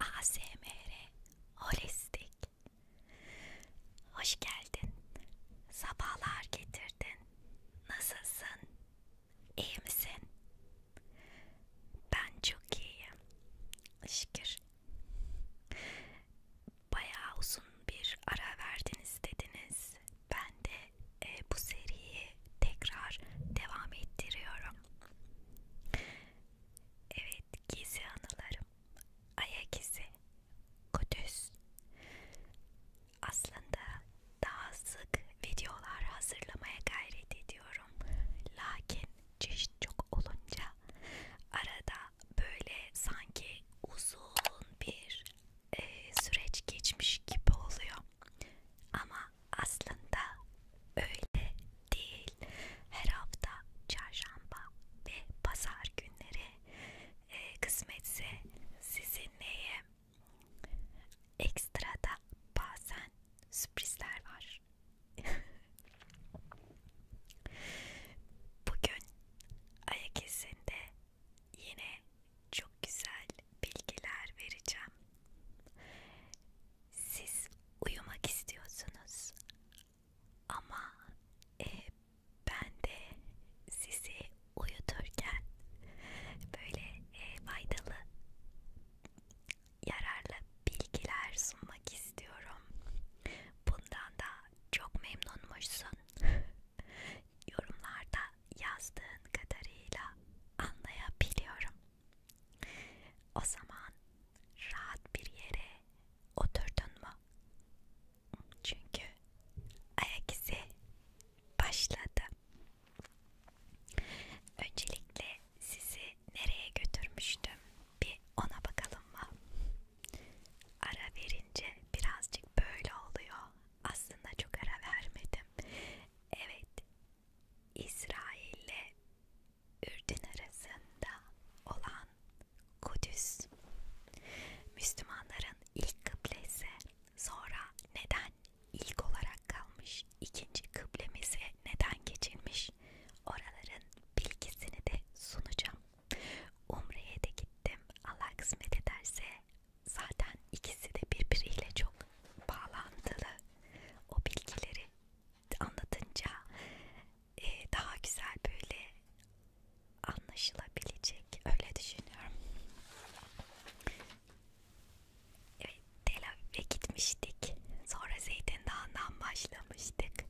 ASMR Holistik Hoş geldin. Sabahlar getirdin. Nasılsın? İyi misin? Ben çok iyiyim. Şükür. Bayağı uzun bir ara verdiniz dediniz. Ben de e, bu seriyi tekrar devam ettiriyorum. Evet, gizli anılarım. Ayak izi, Kudüs. Aslında daha sık videolar hazırlamaya gayret ediyorum. Lakin çeşit çok olunca arada böyle sanki uzun bir e, süreç geçmiş gibi oluyor ama aslında öyle değil her hafta çarşamba ve pazar günleri e, kısmetse sizinleyim ekstra da bazen sürprizler var merhabalar. Bugün ayak izinde yine çok güzel bilgiler vereceğim. Siz uyumak istiyorsunuz ama e, ben de sizi uyuturken böyle e, faydalı yararlı bilgiler sunmak istiyorum. Bundan da çok memnunmuşsun. Yorumlarda yazdığın kadarıyla anlayabiliyorum. O zaman rahat bir yere oturdun mu? Çünkü ayak izi başladı. Öncelikle sizi nereye götürmüştüm? Bir ona bakalım mı? Ara verince birazcık böyle oluyor. Aslında çok ara vermedim. Evet, İsrail ile Ürdün arasında olan Kudüs, Müslümanların ilk kıblesi. Sonra neden ilk olarak kalmış? İkinci kıblemize neden geçilmiş? Oraların bilgisini de sunacağım. Umre'ye de gittim. Allah kısmet ederse zaten ikisi de birbiriyle çok bağlantılı. O bilgileri anlatınca e, daha güzel böyle anlaşılabilecek öyle düşünüyorum. Evet, Tel ve gitmiştik. Sonra Zeytin Dağı'ndan başlamıştık.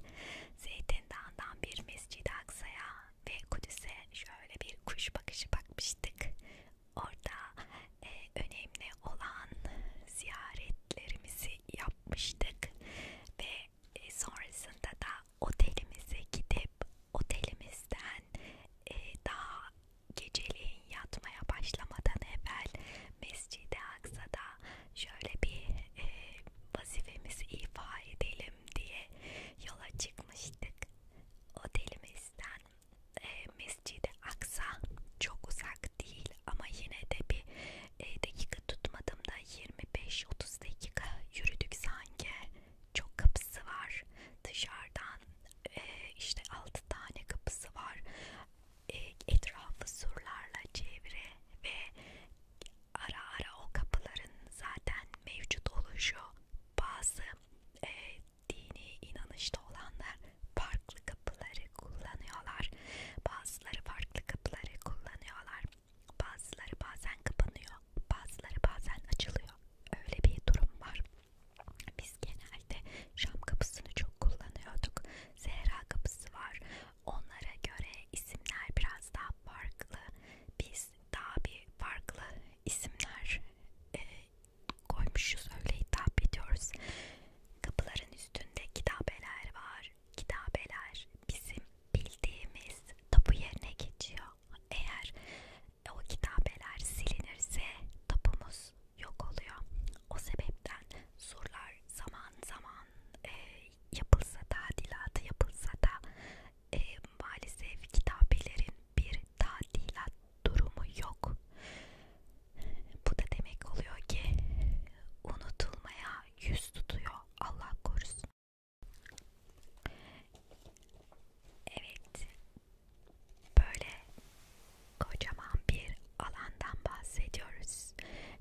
Zeytin Dağı'ndan bir Mescid-i Aksa'ya ve Kudüs'e şöyle bir kuş bakışı bakmıştık. Orada e, önemli olan ziyaretlerimizi yapmıştık ve e, sonrasında da otelimize gidip otelimizden e, daha geceliğin yatmaya başlamadan evvel Mescid-i Aksa'da şöyle bir e, vazifemizi ifa edelim diye yola çıkmıştık. Otelimizden e, Mescid-i Aksa çok uzak değil ama yine de bir e, dakika tutmadım da 25-30 dakika yürüdük sanki. Çok kapısı var dışarıdan e, işte 6 tane kapısı var e, etrafı surlarla çevre ve ara ara o kapıların zaten mevcut oluşu bazı e, dini inanışta olanlar farklı kapıları kullanıyorlar bazıları farklı kapıları kullanıyorlar bazıları bazen kapanıyor bazıları bazen açılıyor öyle bir durum var biz genelde Şam kapısını çok kullanıyorduk Zehra kapısı var Onlara göre isimler biraz daha farklı. Biz daha bir farklı isimler e, koymuşuz. Öyle hitap ediyoruz. Kapıların üstünde kitabeler var. Kitabeler bizim bildiğimiz tapu yerine geçiyor. Eğer o kitabeler silinirse tapumuz yok oluyor. O sebepten surlar zaman zaman e, yapılsa tadilatı yapılsa da e, maalesef kitabelerin bir tadilat durumu yok. Bu da demek oluyor ki unutulmaya yüz tutuyor Allah korusun. Evet böyle Kocaman bir alandan bahsediyoruz.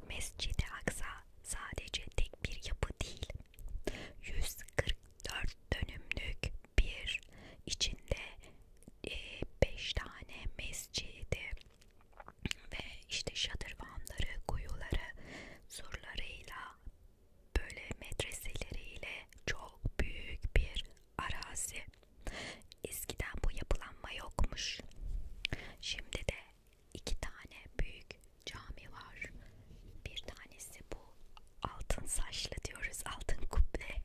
Mescid-i Aksa sadece tek bir yapı değil. 144 dönümlük bir içinde 5 e, tane mescidi ve işte şadırvanları, kuyuları, surlarıyla böyle medreseleriyle çok büyük bir arazi. Eskiden bu yapılanma yokmuş. Şimdi de iki tane büyük cami var. Bir tanesi bu altın saçlı diyoruz, altın kuble,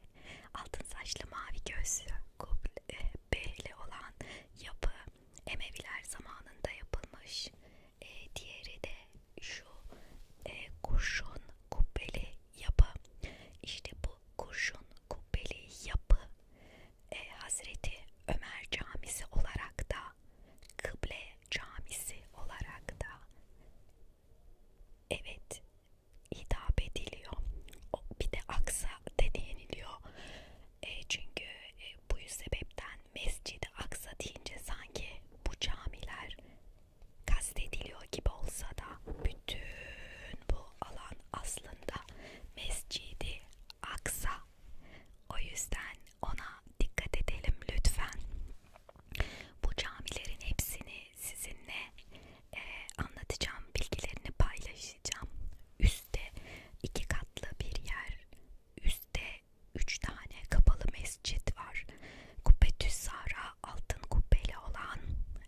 altın saçlı mavi gözlü kuble, eh, belli olan yapı Emeviler zamanında yapılmış. E, diğeri de şu e, kurşun kubbeli yapı. İşte bu kurşun kubbeli yapı e, Hazreti Ömer Camisi olarak da Kıble Camisi olarak da evet hitap ediliyor. O, bir de Aksa de deniliyor. E, çünkü e, bu sebepten Mescid-i Aksa deyince sanki bu camiler kastediliyor gibi olsa da bütün bu alan aslında Mescidi Aksa. O yüzden ona dikkat edelim lütfen. Bu camilerin hepsini sizinle e, anlatacağım, bilgilerini paylaşacağım. Üste iki katlı bir yer, üstte üç tane kapalı mescit var. Kubbetü Sara altın kubbeli olan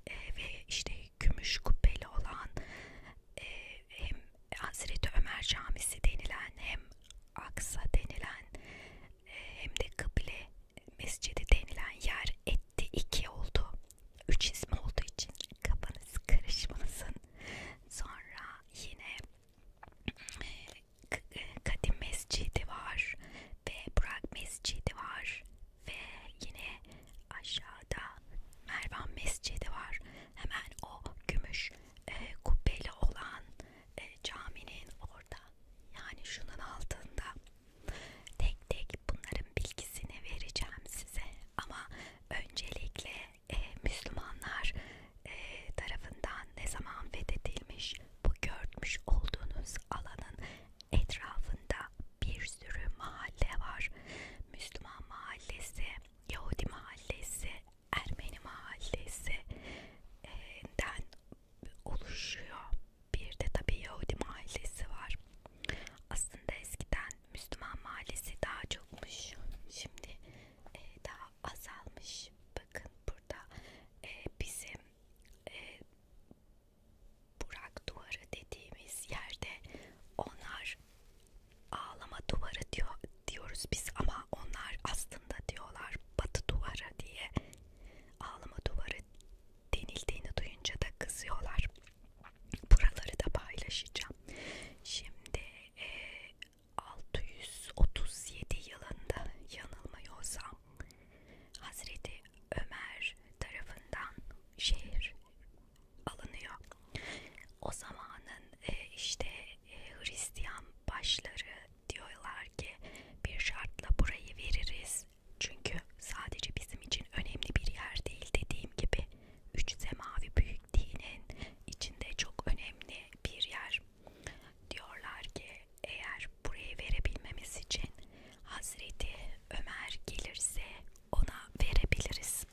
e, ve işte gümüş kubbeli olan ee, hem Hazreti Ömer Camisi denilen hem Aksa denilen e, hem de Kıble Mescidi denilen yer etti iki oldu. Üç ismi olduğu için kafanız karışmasın. Sonra yine e, e, Kadim Mescidi var ve Burak Mescidi var ve yine aşağıda Mervan Mescidi var. Hemen o gümüş e, kubbeli olan e, caminin orada. Yani şunun altında. Tek tek bunların bilgisini vereceğim size. Ama öncelikle e, Müslümanlar e, tarafından ne zaman fethedilmiş bu görmüş olduğunuz alanın etrafında bir sürü mahalle var. Müslüman mahallesi, Yahudi mahallesi, Ermeni mahallesi e, den oluşuyor. Bir de tabii Yahudi mahallesi var. Aslında eskiden Müslüman mahallesi daha çokmuş. Şimdi e, daha azalmış. Bakın burada e, bizim e, Burak duvarı dediğimiz yerde onlar ağlama duvarı diyor, diyoruz biz ama onlar aslında diyorlar batı duvarı diye ağlama duvarı denildiğini duyunca da kızıyorlar. Buraları da paylaşacağım. Şimdi e, 637 yılında yanılmıyorsam Hazreti Ömer tarafından şehir alınıyor. O zamanın e, işte e, Hristiyan başları diyorlar ki bir şartla burayı veririz. Çünkü sadece bizim için önemli bir yer değil dediğim gibi. Üç semavi büyük dinin içinde çok önemli bir yer. Diyorlar ki eğer burayı verebilmemiz için Hazreti Ömer gelirse ona verebiliriz.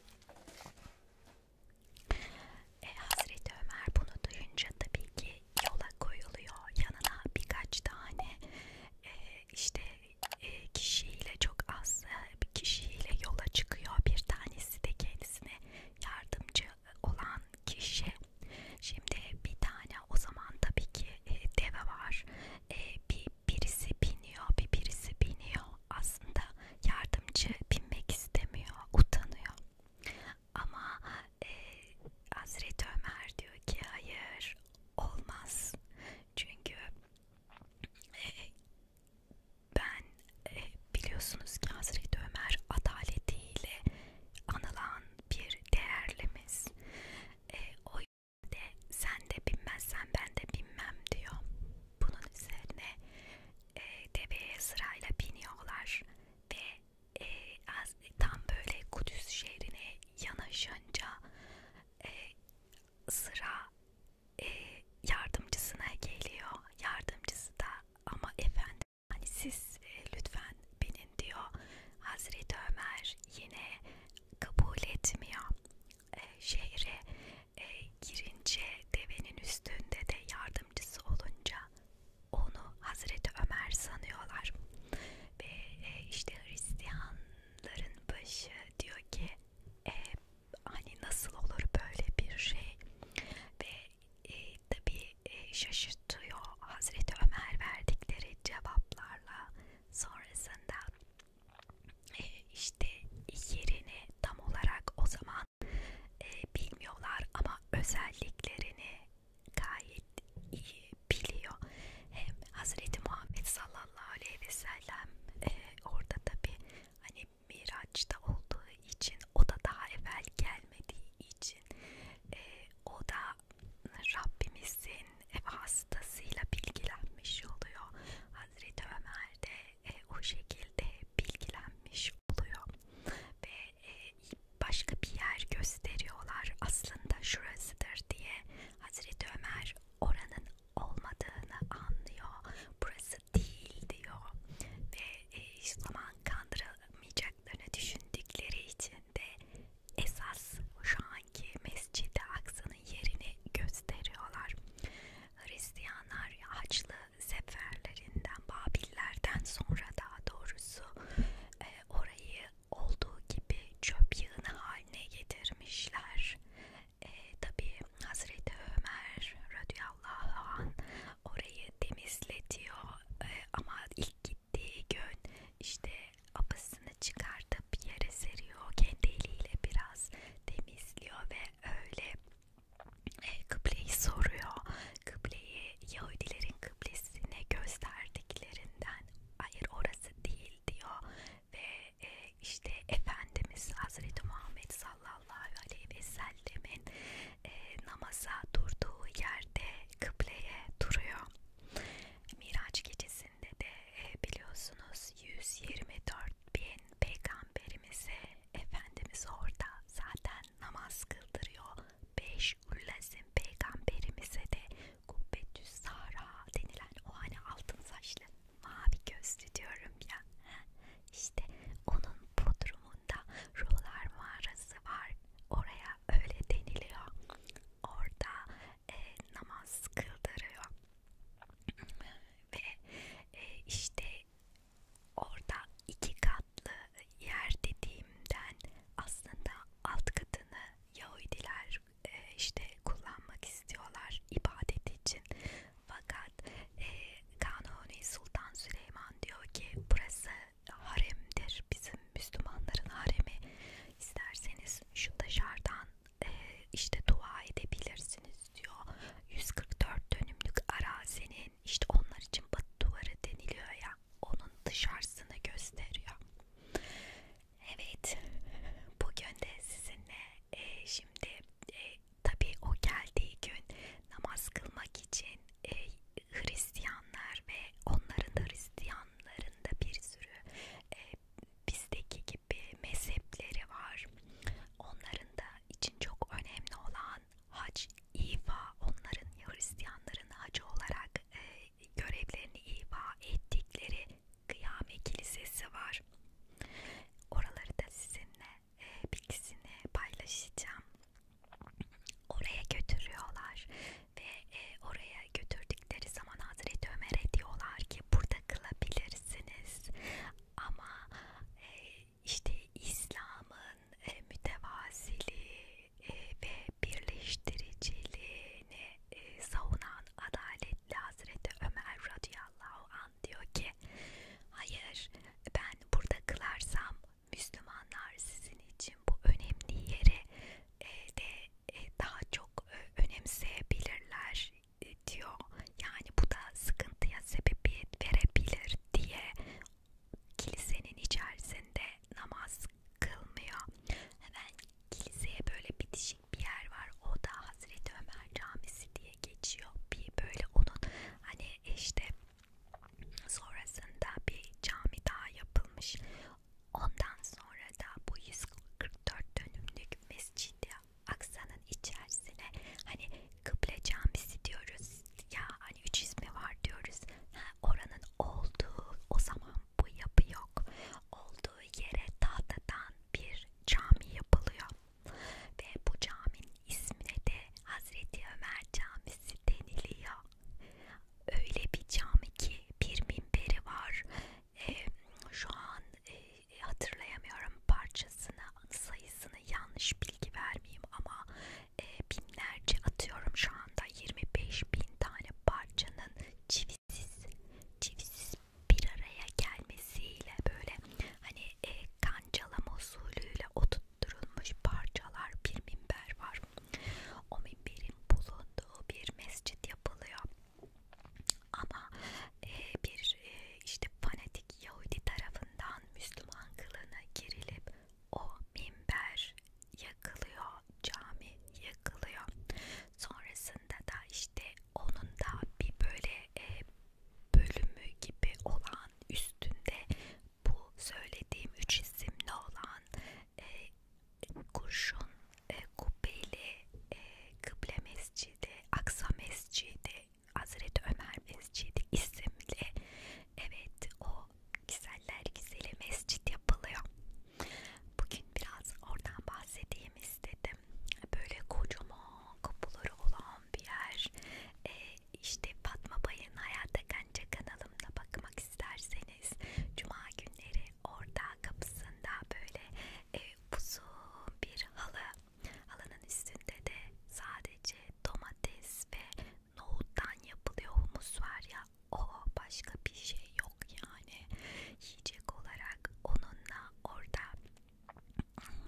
E, Hazreti Ömer bunu duyunca tabii ki yola koyuluyor. Yanına birkaç tane e, işte e, kişiyle çok az e, bir kişiyle yola çıkıyor. Bir tanesi de kendisine yardımcı olan kişi. Şimdi bir tane o zaman tabii ki e, deve var. E, bir bir birisi biniyor bir birisi biniyor aslında yardımcı binmek istemiyor utanıyor ama e, Hazreti Ömer diyor ki hayır olmaz çünkü e, ben e, biliyorsunuz ki Hazreti Ömer adaletiyle anılan bir değerlimiz e, o de sen de binmezsen ben de binmem diyor. Bunun üzerine e, deveye sırayla biniyorlar ve e, az, tam böyle Kudüs şehrine yanaşınca e, sıra e, yardımcısına geliyor. Yardımcısı da ama efendim hani siz e, lütfen binin diyor. Hazreti Ömer yine kabul etmiyor e, şehre e, girince devenin üstünde de yardımcısı olunca onu Hazreti Ömer sanıyorlar ve e, işte Hristiyanların başı diyor ki e, hani nasıl olur böyle bir şey ve e, tabi e, şaşırtıyor Hazreti Ömer verdikleri cevaplarla sonrasında ee, işte yerini tam olarak o zaman e, bilmiyorlar ama özelliklerini gayet iyi biliyor. Hem Hazreti Muhammed sallallahu aleyhi ve sellem e, orada tabi hani Miraç'ta olduğu için o da daha evvel gelmediği için e, o da Rabbimizin ev hastasıyla bilgilenmiş oluyor. Hazreti Ömer de e, o şekilde bilgilenmiş oluyor ve e, başka bir yer gösteriyorlar aslında şurasıdır diye. Hazreti Ömer oranın olmadığını anlıyor. Burası değil diyor ve e, hiç zaman kandırılmayacaklarını düşündükleri için de esas şu an zamanki Mescid-i Aksa'nın yerini gösteriyorlar. Hristiyanlar Haçlı seferlerinden, Babillerden sonra daha doğrusu e, orayı olduğu gibi çöp yığını haline getirmişler. E, Tabii Hazreti Ömer radıyallahu an orayı temizletiyor e, ama ilk gittiği gün işte abasının tozlarını çıkartıp yere seriyor. Kendi eliyle biraz temizliyor ve öyle e, kıbleyi soruyor. Kıbleyi Yahudilerin kıblesine gösterdiklerinden hayır orası değil diyor ve e, işte Efendimiz Hazreti Muhammed sallallahu aleyhi ve sellemin e, namaza durduğu yerde kıbleye duruyor. Miraç gecesinde de biliyorsunuz 124 bin peygamberimize Efendimiz orada zaten namaz kıldırıyor. 5 Ullazim peygamberimize de Kubbetü Sara denilen o hani altın saçlı mavi gözlü diyorum ya. İşte onun podrumunda ruhlar mağarası var. Oraya öyle deniliyor. Orada e, namaz kıldırıyor ve e, işte orada iki katlı yer dediğimden aslında alt katını Yahudiler e, işte kullanmak istiyorlar ibadet için fakat e, Kanuni Sultan Süleyman diyor ki burası haremdir bizim Müslümanların haremi isterseniz şu dışarıdan e, işte dua edebilirsiniz diyor. 144 dönümlük arazinin işte onlar için batı duvarı deniliyor ya onun dışarısını gösteriyor. Evet bugün de sizinle e, şimdi e, tabi o geldiği gün namaz kılmak için e, Hristiyanlar ve onların da Hristiyanların da bir sürü e, bizdeki gibi mezhepleri var. Onların da için çok önemli olan hac, ifa, onların Hristiyanların hacı olarak e, görevlerini ifa ettikleri Kıyame Kilisesi var. Oraları da sizinle e, bilgisini paylaşacağım. Oraya götürüyorlar ve e, oraya götürdük geldikleri zaman Hazreti Ömer'e diyorlar ki burada kılabilirsiniz ama e, işte İslam'ın e, mütevaziliği e, ve birleştiriciliğini e, savunan adaletli Hazreti Ömer radıyallahu an diyor ki hayır ben burada kılarsam Müslümanlar sizin için bu önemli yeri e, de e, daha çok e, önemseyebilirler diyor. Yani bu da sıkıntıya sebebiyet verebilir diye kilisenin içerisinde namaz kılmıyor. Hemen kiliseye böyle bitişik bir yer var. O da Hazreti Ömer Camisi diye geçiyor. Bir böyle onun hani işte sonrasında bir cami daha yapılmış. Ondan sonra da bu 144 dönümlük mescidi aksanın içerisine hani kıble camisi diyoruz ya hani 300 mi var diyoruz ha, oranın olduğu o zaman bu yapı yok olduğu yere tahtadan bir cami yapılıyor ve bu caminin ismine de Hazreti Ömer Camisi deniliyor öyle bir cami ki bir minberi var e, şu an e, hatırlayamıyorum parçasını sayısını yanlış bilgi vermeyeyim ama e, binlerce atıyorum şu anda 25 bin tane parçanın çivisiz çivisiz bir araya gelmesiyle böyle hani e, kancalama usulüyle oturtulmuş parçalar bir minber var. O minberin bulunduğu bir mescit yapılıyor. Ama e, bir e, işte fanatik Yahudi tarafından Müslüman kılığına girilip o minber yakılıyor, cami yakılıyor. Sonrasında da işte onun da bir böyle e, bölümü gibi olan üstünde bu söylediğim üç isimli olan e, kurşun e, kubbeli e, kıble mescidi, Aksa mescidi, Hazreti Ömer mescidi isimli evet o güzeller güzeli mescit yapılıyor. Bugün biraz oradan bahsedeyim istedim. Böyle kocaman kapıları olan bir yer. E, işte Fatma Bay'ın Hayatta Kanca kanalımda bakmak isterseniz Cuma günleri orada kapısında böyle e, uzun bir halı. Halının üstünde de sadece domates ve nohuttan yapılıyor humus var ya. O başka bir şey yok yani. Yiyecek olarak onunla orada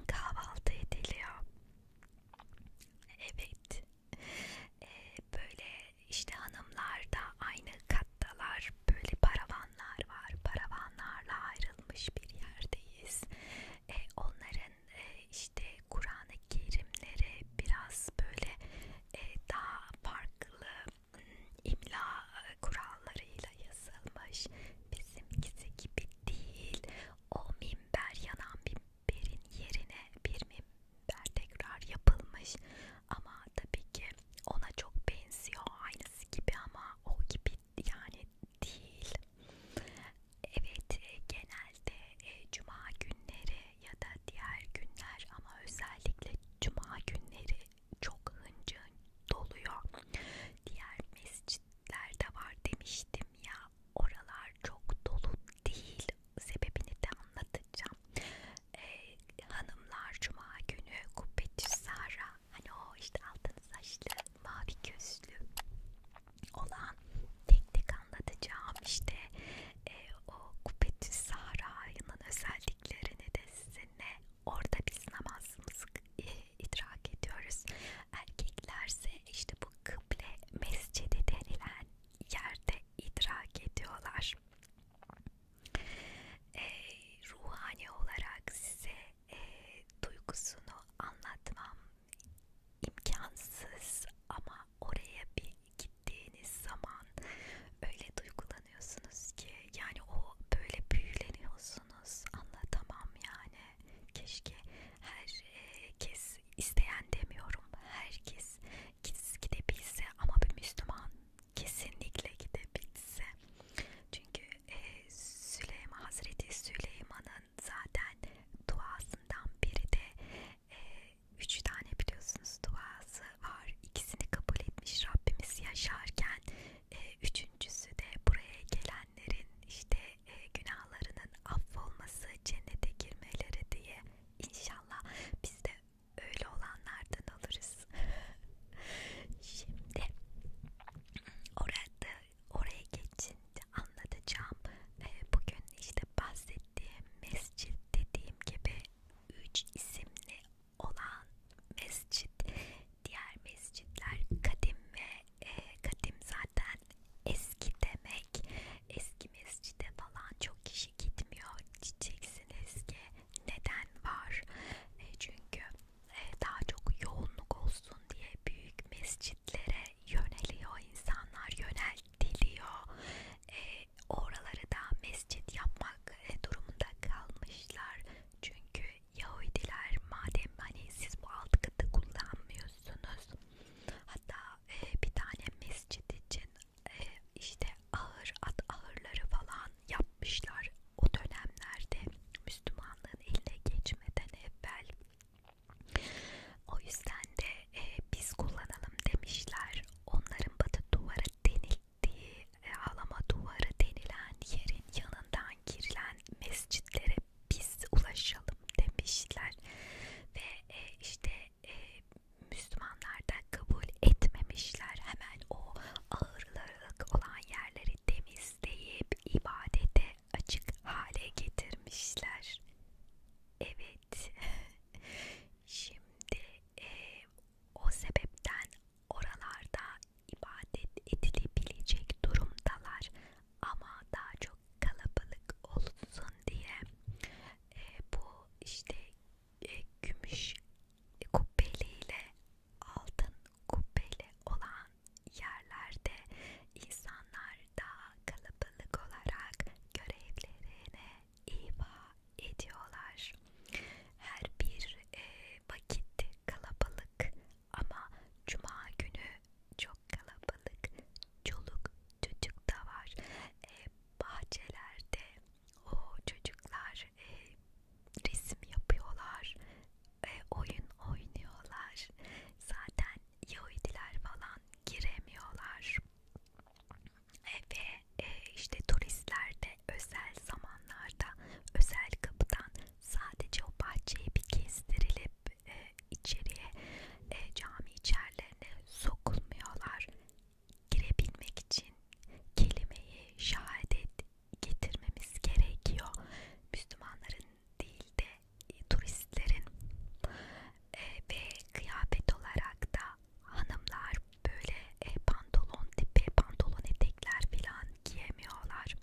kahvaltı ediliyor. Evet. E, böyle işte hanımlar da aynı kattalar var. Böyle paravanlar var. Paravanlarla ayrılmış bir yerdeyiz. E, onların e, işte Kur'an-ı Kerimleri biraz böyle e, daha farklı hmm, imla e, kurallarıyla yazılmış. Bizimkisi gibi değil. O minber yanan minberin yerine bir minber tekrar yapılmış ama tabii ki ona çok benziyor aynısı gibi ama o gibi yani değil. Evet e, genelde e, cuma günleri ya da diğer günler ama özellikle cuma günleri çok hıncın doluyor. Diğer mescitler de var demiştim ya oralar çok dolu değil sebebini de anlatacağım e, hanımlar cuma günü kubbetçi Sara hani o işte altın saçlı mavi gözlü olan tek tek anlatacağım işte e, o kubbetçi Sara'nın özelliklerini de sizinle orada biz namazımızı e, idrak ediyoruz erkeklerse işte bu kıble mescidi denilen yerde idrak ediyorlar e, ruhani olarak size e, duygusunu anlatmam imkansız ama oraya bir gittiğiniz zaman öyle duygulanıyorsunuz ki yani o böyle büyüleniyorsunuz anlatamam yani keşke herkes e, isteyen demiyorum herkes gidebilse ama bir Müslüman kesinlikle gidebilse. Çünkü e, Süleyman Hazreti Süleyman'ın zaten duasından biri de e, üç tane biliyorsunuz duası var. İkisini kabul etmiş Rabbimiz yaşarken e, üçüncüsü de buraya gelenlerin işte e, günahlarının affolması, cennete girmeleri diye. İnşallah biz de öyle olanlardan alırız. Şimdi orada oraya geçince anlatacağım. Bugün işte bahsettiğim mescit dediğim gibi üç isimli olan mescit, diğer mescitler kadim ve e, kadim zaten eski demek. Eski mescide falan çok kişi gitmiyor diyeceksiniz ki neden var? E, çünkü e, daha çok yoğunluk olsun diye büyük mescitlere yöneliyor insanlar, yöneltiliyor. E, oraları da mescit yapmak e, durumunda kalmışlar. Çünkü Yahudiler madem hani siz bu alt katı kullanmıyorsunuz hatta e, bir tane mescit için e, işte ağır at ağırları falan yapmışlar o dönemlerde Müslümanlığın eline geçmeden evvel o yüzden de e, biz kullanalım demişler onların batı duvarı denildiği e, ağlama duvarı denilen yerin yanından girilen mescitlere biz ulaşalım demişler ve e, işte e, Müslümanlar da kabul etmemişler hemen o ağırlık olan yerleri temizleyip ibadete açık hale getirmişler. Evet, şimdi e, o sebepten oralarda ibadet edilebilecek durumdalar ama daha çok kalabalık olsun diye e, bu işte e, gümüş kubbeli ile altın kubbeli olan yerlerde insanlar daha kalabalık olarak görevlerine ifa ediyorlar. Her bir e, vakit kalabalık ama cuma günü çok kalabalık. Çoluk çocuk da var. E, bahçelerde o çocuklar e, resim yapıyorlar, e, oyun oynuyorlar. Zaten Yahudiler falan giremiyorlar. E, ve e, işte turistler de özel zamanlarda özel kapıdan sadece o bahçeyi bir kestirilip e, içeriye e, cami içerilerine sokulmuyorlar girebilmek için kelimeyi şahadet getirmemiz gerekiyor. Müslümanların değil de turistlerin e, ve kıyafet olarak da hanımlar böyle e, pantolon tipi pantolon etekler filan giyemiyorlar.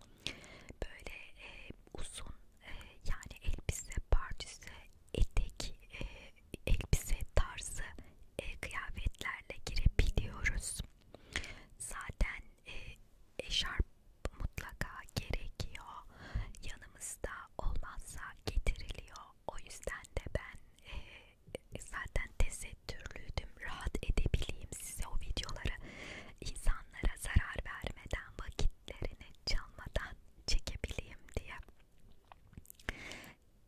Böyle e, uzun e, yani elbise, partüse, etek, e, elbise tarzı e, kıyafetlerle girebiliyoruz. Zaten e, eşarp mutlaka gerekiyor. Yanımızda olmazsa getiriliyor. O yüzden de ben e, zaten tesettürlüydüm. Rahat edebileyim size o videoları insanlara zarar vermeden vakitlerini çalmadan çekebileyim diye.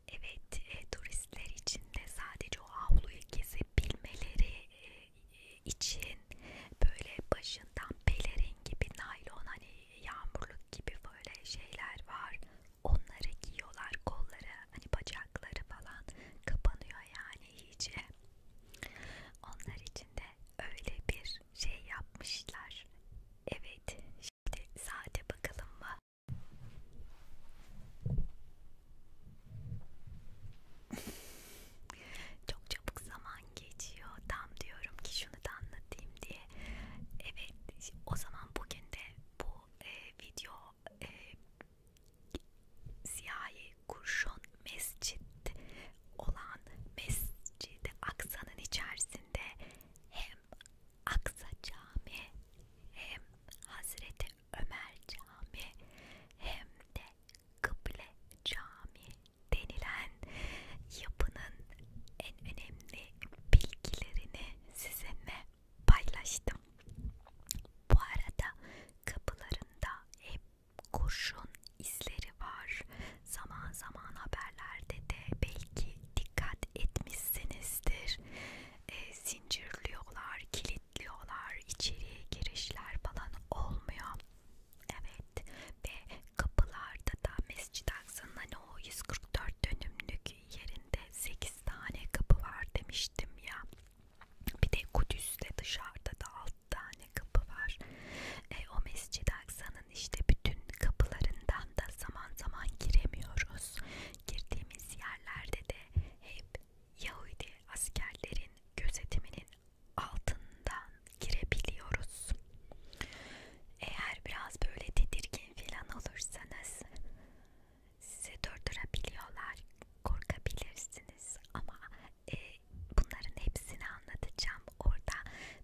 Evet, e, turistler için de sadece o avluyu gezebilmeleri e, e, için böyle başından pelerin gibi naylon hani yağmurluk gibi böyle şeyler var. Onları giyiyorlar kolları, hani bacakları falan kapanıyor yani iyice. Onlar için de öyle bir şey yapmışlar. Evet, şimdi saate bakalım mı? Çok çabuk zaman geçiyor. Tam diyorum ki şunu da anlatayım diye. Evet, o zaman bugün de bu e, video e, siyahi kurşun mescit olan mescidi aksanın içerisinde hem Aksa Cami hem Hazreti Ömer Cami hem de Kıble Cami denilen yapının en önemli bilgilerini sizinle paylaştım. Bu arada kapılarında hep kurşun izleri var. Zaman zaman haberlerde de belki dikkat etmişsinizdir. E, zincirliyorlar, kilitliyorlar, içeriye girişler falan olmuyor. Evet ve kapılarda da Mescid-i Aksa'nın hani o 144 dönümlük yerinde 8 tane kapı var demiştim ya. Bir de Kudüs'te dışarıda da 6 tane kapı var. E, o Mescid-i Aksa'nın işte bütün kapılarından da zaman zaman giremiyoruz. Girdiğimiz yerlerde de hep Yahudi askerlerin gözetiminin altından girebiliyoruz. Eğer biraz böyle tedirgin filan olursanız sizi durdurabiliyorlar, korkabilirsiniz ama e, bunların hepsini anlatacağım. Orada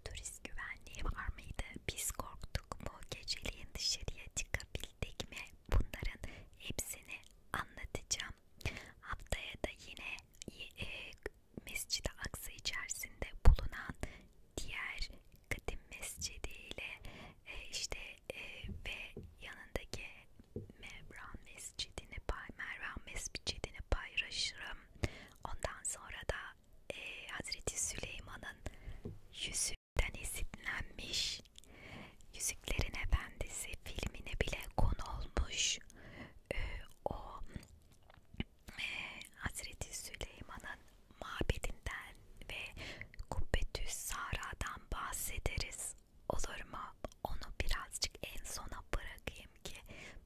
turist güvenliği var mıydı? Biz korktuk mu? Geceliğin dışarıya çıkabildik mi? bunların hepsini anlatacağım. Haftaya da yine e, e Mescid-i Aksa içerisinde bulunan diğer kadim mescidi ile e, işte e, ve yanındaki Mevran Mescidini pay, Mervan Mescidini paylaşırım. Ondan sonra da e, Hazreti Süleyman'ın yüzü yüzünden esinlenmiş. Yüzüklerin Efendisi filmine bile konu olmuş. Ee, o e, Hazreti Süleyman'ın mabedinden ve Kubbetü Sara'dan bahsederiz. Olur mu? Onu birazcık en sona bırakayım ki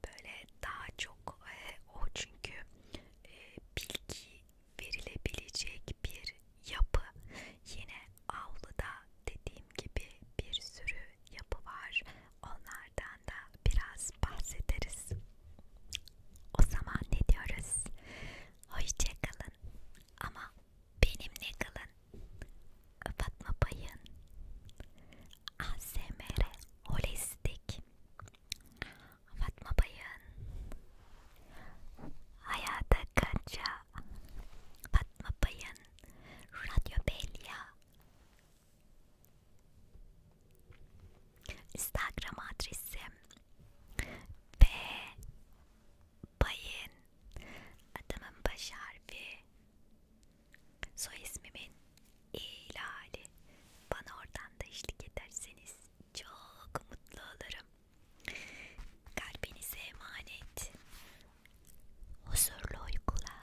böyle daha çok e, o çünkü e, bilgi verilebilecek bir yapı. Yine avluda dediğim gibi bir sürü yapı var. Onlardan da biraz bahsederiz. O zaman ne diyoruz? Hoşça kalın. Ama benimle kalın. Fatma Bay'ın ASMR Holistik Fatma Bay'ın Hayata Kaça Fatma Bay'ın Radyo Belya Instagram adresim B Bay'ın adamın baş harfi soy ismimin ilali bana oradan da eşlik ederseniz çok mutlu olurum Kalbinize emanet. Huzurlu uykular.